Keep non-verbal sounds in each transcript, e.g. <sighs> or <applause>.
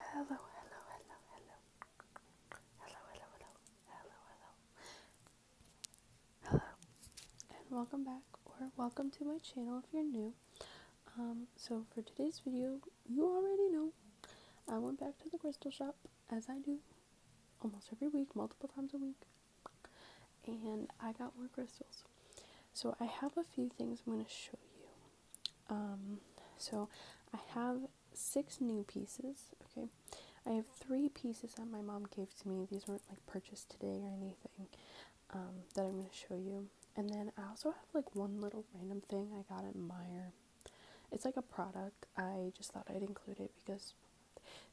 Hello, hello, hello, hello. Hello, hello, hello, hello, hello. Hello, and welcome back, or welcome to my channel if you're new. Um, so for today's video, you already know, I went back to the crystal shop, as I do, almost every week, multiple times a week, and I got more crystals. So I have a few things I'm going to show you. Um, so I have six new pieces. Okay, I have three pieces that my mom gave to me. These weren't like purchased today or anything. Um, that I'm going to show you. And then I also have like one little random thing I got at Mire. It's like a product. I just thought I'd include it because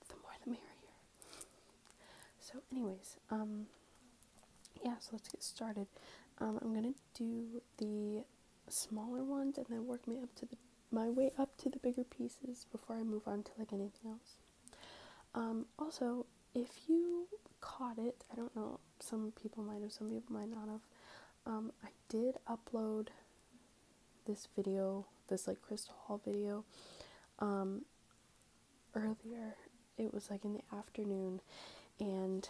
the more the merrier. So, anyways, um, yeah, so let's get started. I'm gonna do the smaller ones and then work me up to the my way up to the bigger pieces before I move on to like anything else. Um, also, if you caught it, I don't know, some people might have, some people might not have. Um, I did upload this video, this like crystal Hall video, um, earlier. It was like in the afternoon, and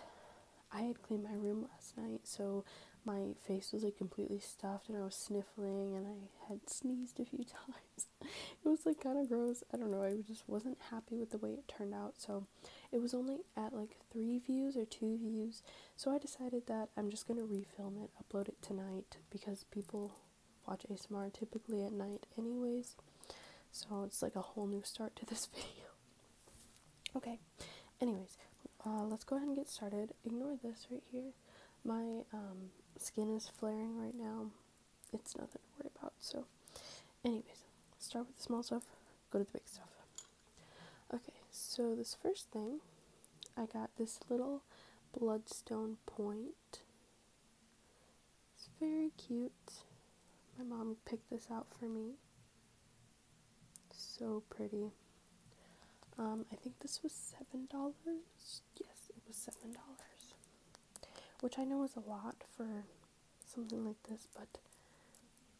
I had cleaned my room last night, so my face was like completely stuffed and I was sniffling and I had sneezed a few <laughs> times. it was like kind of gross. I don't know. I just wasn't happy with the way it turned out. So it was only at like three views or two views. So I decided that I'm just going to refilm it, upload it tonight because people watch ASMR typically at night, anyways. So it's like a whole new start to this <laughs> video. Okay, anyways, uh, let's go ahead and get started. Ignore this right here. My um, skin is flaring right now. It's nothing to worry about. So, anyways, start with the small stuff, go to the big stuff. Okay, so this first thing, I got this little bloodstone point. It's very cute. My mom picked this out for me. So pretty. Um, I think this was $7. Yes, it was $7. Which I know is a lot for something like this, but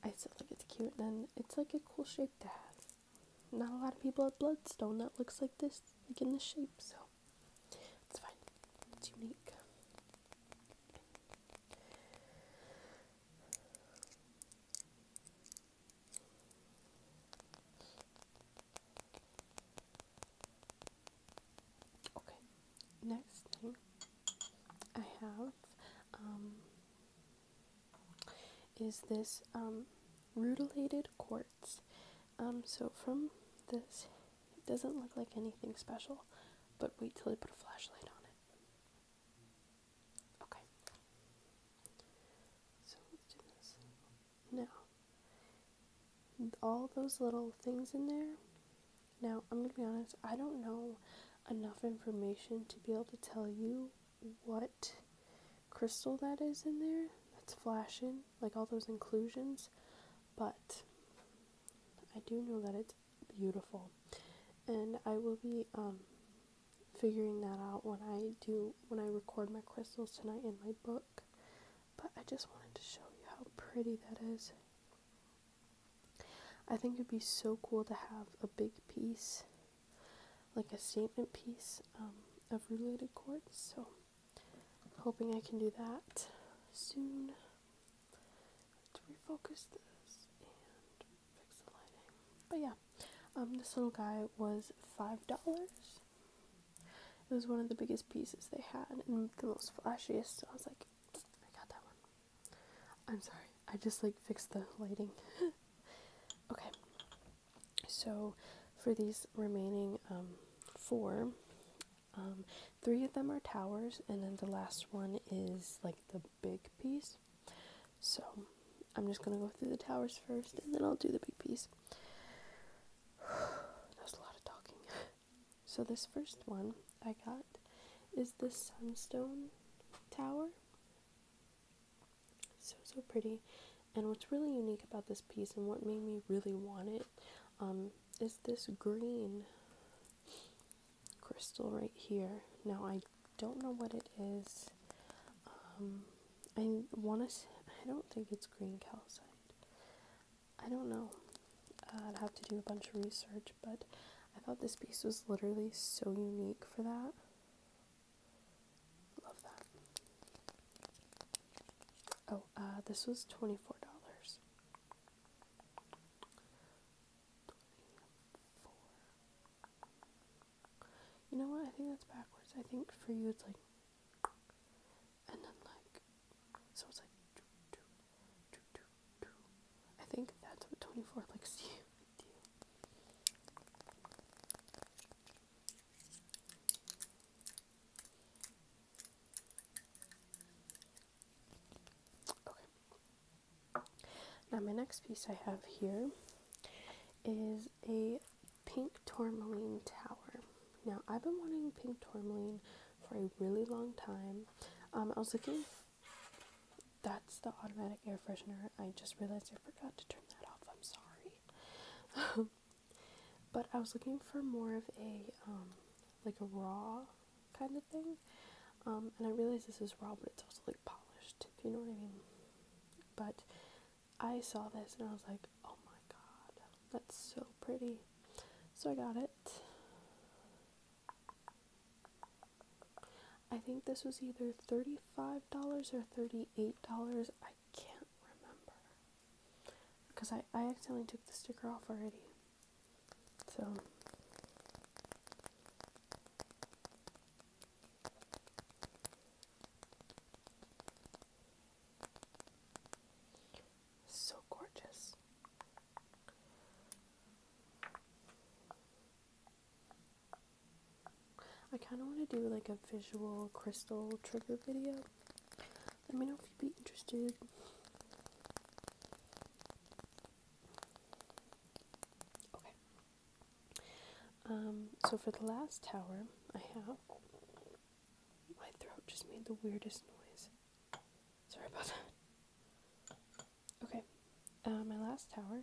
I still think it's cute. And it's like a cool shape to have. Not a lot of people have Bloodstone that looks like this, like in this shape, so it's fine. It's unique. Okay, next thing I have um, is this um, rutilated quartz. Um, so from this it doesn't look like anything special, but wait till I put a flashlight on it. Okay. So let's do this. Now, all those little things in there. Now, I'm going to be honest, I don't know enough information to be able to tell you what crystal that is in there that's flashing, like all those inclusions, but I do know that it's beautiful. And I will be um, figuring that out when I do when I record my crystals tonight in my book. But I just wanted to show you how pretty that is. I think it'd be so cool to have a big piece, like a statement piece um, of related quartz. So, hoping I can do that soon to refocus this and fix the lighting. But yeah, um, this little guy was five dollars. It was one of the biggest pieces they had and the most flashiest. So I was like, I got that one. I'm sorry, I just like fixed the lighting. <laughs> okay, so for these remaining um, four, um, three of them are towers, and then the last one is like the big piece. So I'm just gonna go through the towers first, and then I'll do the big piece. <sighs> That's a lot of talking. <laughs> So this first one I got is the Sunstone Tower. So so pretty, and what's really unique about this piece, and what made me really want it, um, is this green crystal right here. Now I don't know what it is. Um, I want to. I don't think it's green calcite. I don't know. Uh, I'd have to do a bunch of research, but I thought this piece was literally so unique for that. Love that. Oh, uh, this was twenty four dollars. You know what? I think that's backwards. I think for you it's like, and then like, so it's like, I think that's what 24 likes to you. Now my next piece I have here is a pink tourmaline tower. Now I've been wanting pink tourmaline for a really long time. Um, I was looking. That's the automatic air freshener. I just realized I forgot to turn that off. I'm sorry. <laughs> but I was looking for more of a um, like a raw kind of thing. Um, and I realize this is raw, but it's also like polished, if you know what I mean. But I saw this and I was like, oh my god, that's so pretty. So I got it. I think this was either $35 or $38. I can't remember. Because I, I accidentally took the sticker off already. So so gorgeous. I kind of want to do like a visual crystal trigger video. Let me know if you'd be interested. Okay. Um, so for the last tower, I have my throat just made the weirdest noise. Sorry about that. Okay. Uh, my last tower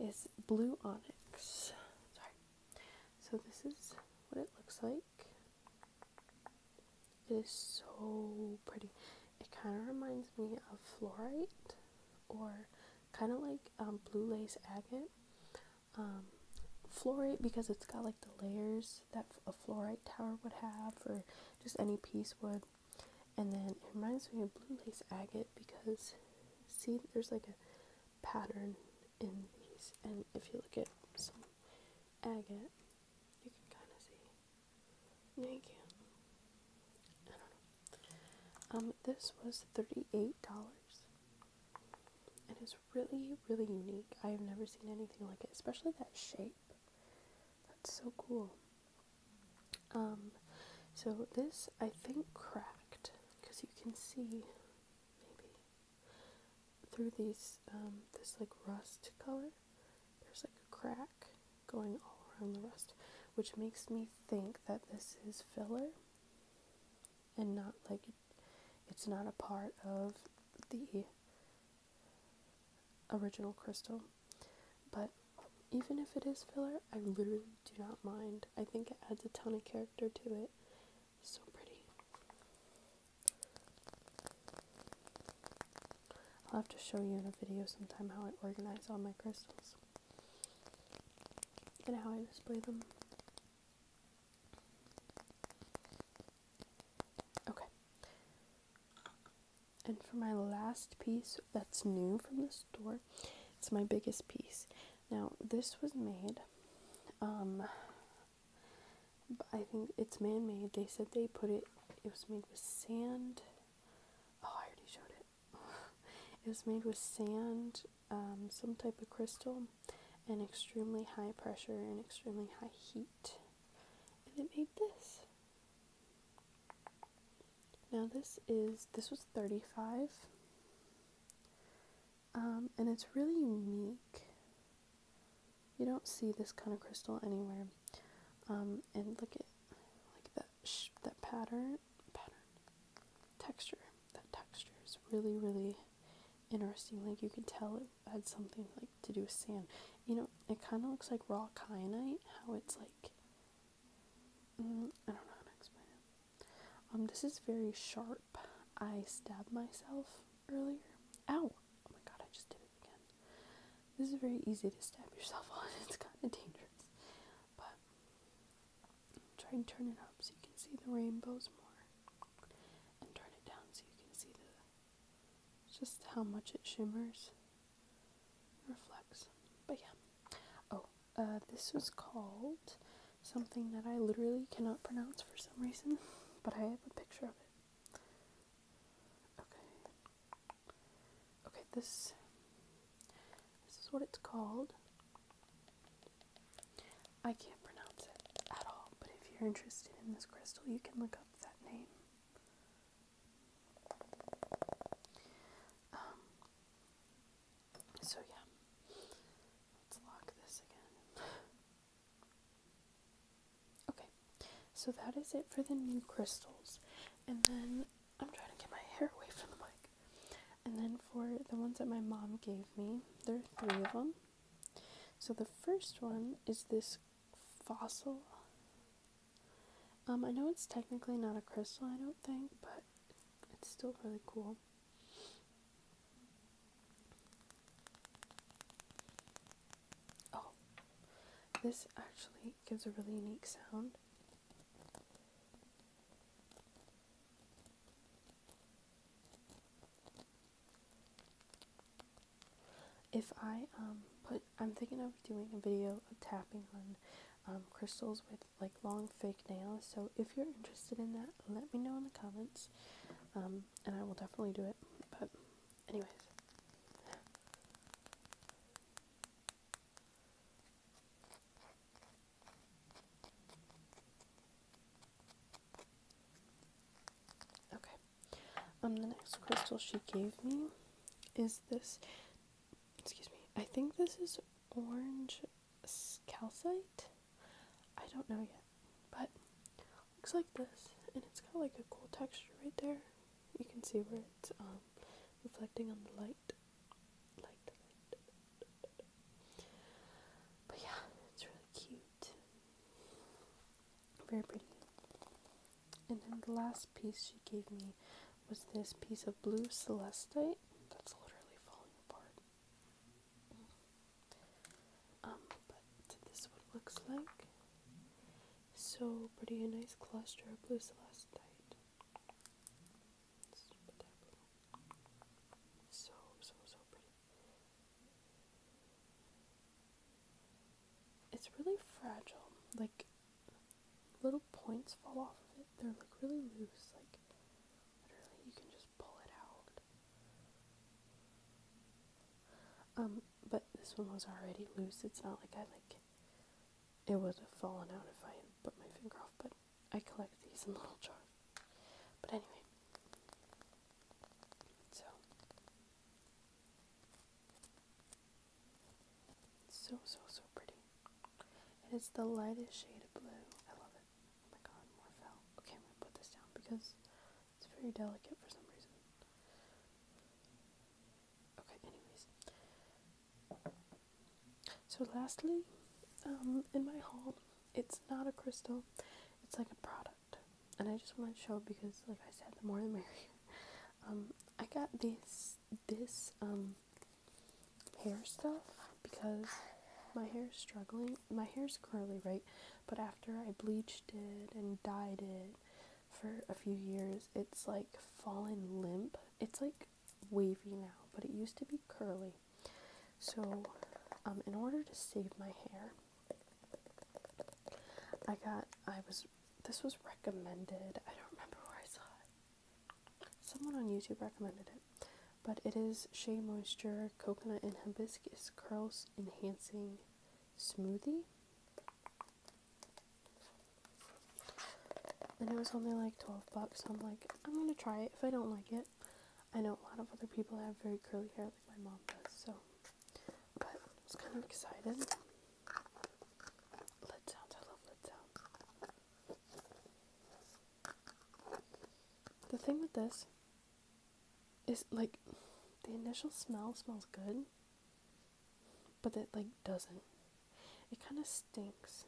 is blue onyx. Sorry. So this is what it looks like it is so pretty. It kind of reminds me of fluorite or kind of like um, blue lace agate. Um, fluorite because it's got like the layers that a fluorite tower would have or just any piece would. And then it reminds me of blue lace agate because see there's like a pattern in these and if you look at some agate you can kind of see. No, you can't. I don't know. Um, this was $38. And it's really, really unique. I have never seen anything like it, especially that shape. That's so cool. Um, so this, I think, cracked. Because you can see, maybe, through these um, this like rust color there's like a crack going all around the rust which makes me think that this is filler and not like it's not a part of the original crystal but even if it is filler I literally do not mind I think it adds a ton of character to it so pretty. I'll have to show you in a video sometime how I organize all my crystals and how I display them. Okay. And for my last piece that's new from the store, it's my biggest piece. Now, this was made um, I think it's man made. They said they put it, it was made with sand. Oh, I already showed it. <laughs> it was made with sand, um, some type of crystal, and extremely high pressure and extremely high heat. And it made this. Now this is this was 35 um, and it's really unique. You don't see this kind of crystal anywhere. Um, and look at like that that pattern pattern texture. That texture is really really interesting. Like you can tell it had something like to do with sand. You know, it kind of looks like raw kyanite. How it's like. Mm, I don't know how to explain it. Um, this is very sharp. I stabbed myself earlier. Ow! Oh, oh my god, I just did it again. This is very easy to stab yourself <laughs> on. It's kind of dangerous. But try and turn it up so you can see the rainbows more. And turn it down so you can see the just how much it shimmers reflects. But yeah. Oh, uh, this was called something that I literally cannot pronounce for some reason. <laughs> but I have a picture of it. Okay. Okay, this this is what it's called. I can't pronounce it at all, but if you're interested in this crystal, you can look up that name. Um, so yeah, let's lock this again. Okay, so that is it for the new crystals. And then I'm trying to get my hair away from the mic. And then for the ones that my mom gave me, there are three of them. So the first one is this fossil. Um, I know it's technically not a crystal, I don't think, but it's still really cool. Oh, this actually gives a really unique sound. If I um, put, I'm thinking of doing a video of tapping on um, crystals with like long fake nails. So if you're interested in that, let me know in the comments. Um, and I will definitely do it. But, anyways. Okay. Um, the next crystal she gave me is this. Excuse me. I think this is orange calcite. I don't know yet. But looks like this, and it's got like a cool texture right there. You can see where it's um, reflecting on the light. light. But yeah, it's really cute. Very pretty. And then the last piece she gave me was this piece of blue celestite that's literally falling apart. Um, but this is looks like. So pretty, a nice cluster of blue celestite. So, so, so pretty. It's really fragile. Like, little points fall off of it. They're like really loose. Like, literally, you can just pull it out. Um, but this one was already loose. It's not like I like it would have fallen out if I had put my finger off, but I collect these in <laughs> little jars. But anyway, so so so so pretty. And it's the lightest shade of blue. I love it. Oh my god, more fell. Okay, I'm gonna put this down because it's very delicate for some reason. Okay, anyways. So, lastly, um, in my haul, it's not a crystal, it's like a product. And I just want to show because, like I said, the more the merrier. <laughs> Um, I got this, this, um, hair stuff because my hair is struggling my hair's curly, right? But after I bleached it and dyed it for a few years, it's like fallen limp. It's like wavy now, but it used to be curly. So, um, in order to save my hair, I got, I was, this was recommended. I don't remember where I saw it. Someone on YouTube recommended it but it is shea moisture coconut and hibiscus curls enhancing smoothie and it was only like 12 bucks so i'm like i'm gonna try it if i don't like it i know a lot of other people have very curly hair like my mom does so but i am kind of excited lid i love lid the thing with this is like the initial smell smells good, but it like doesn't. It kind of stinks,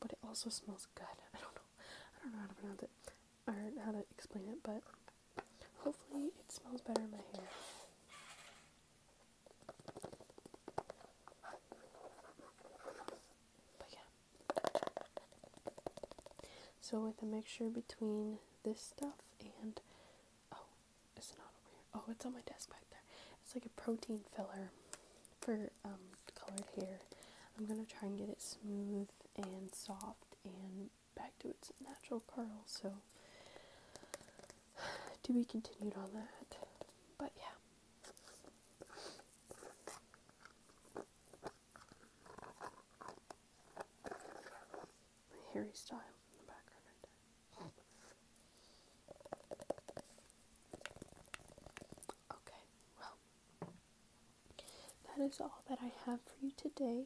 but it also smells good. <laughs> I don't know. I don't know how to pronounce it or how to explain it, but hopefully it smells better in my hair. But yeah, so with a mixture between this stuff and oh, it's not over here. Oh, it's on my desk back there. It's like a protein filler for um, colored hair. I'm gonna try and get it smooth and soft and back to its natural curl. So <sighs> to be continued on that. But yeah. Harry Styles in the background Okay, well, that is all that I have for you today.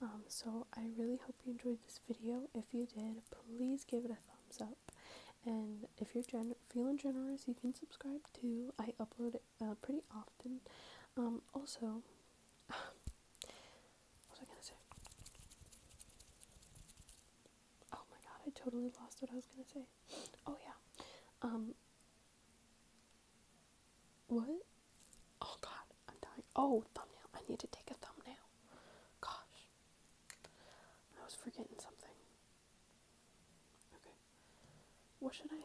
Um, so I really hope you enjoyed this video. If you did, please give it a thumbs up. And if you're generous, Feeling Generous. You can subscribe too. I upload it uh, pretty often. Um, also, <sighs> what was I gonna say? Oh my god, I totally lost what I was gonna say. <gasps> Oh yeah. Um, what? Oh god, I'm dying. Oh, thumbnail. I need to take a thumbnail. Gosh. I was forgetting something. Okay. What should I? Okay,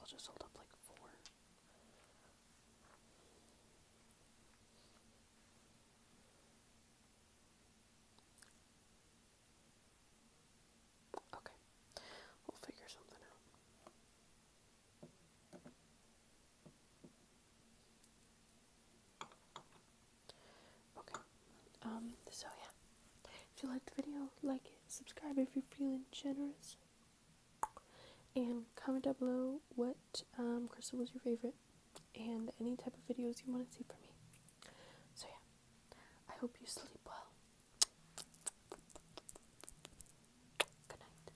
I'll just hold up like four. Okay, we'll figure something out. Okay. Um, so yeah. If you liked the video, like it, subscribe if you're feeling generous, and comment down below what um, crystal was your favorite and any type of videos you want to see from me. So yeah, I hope you sleep well. Good night.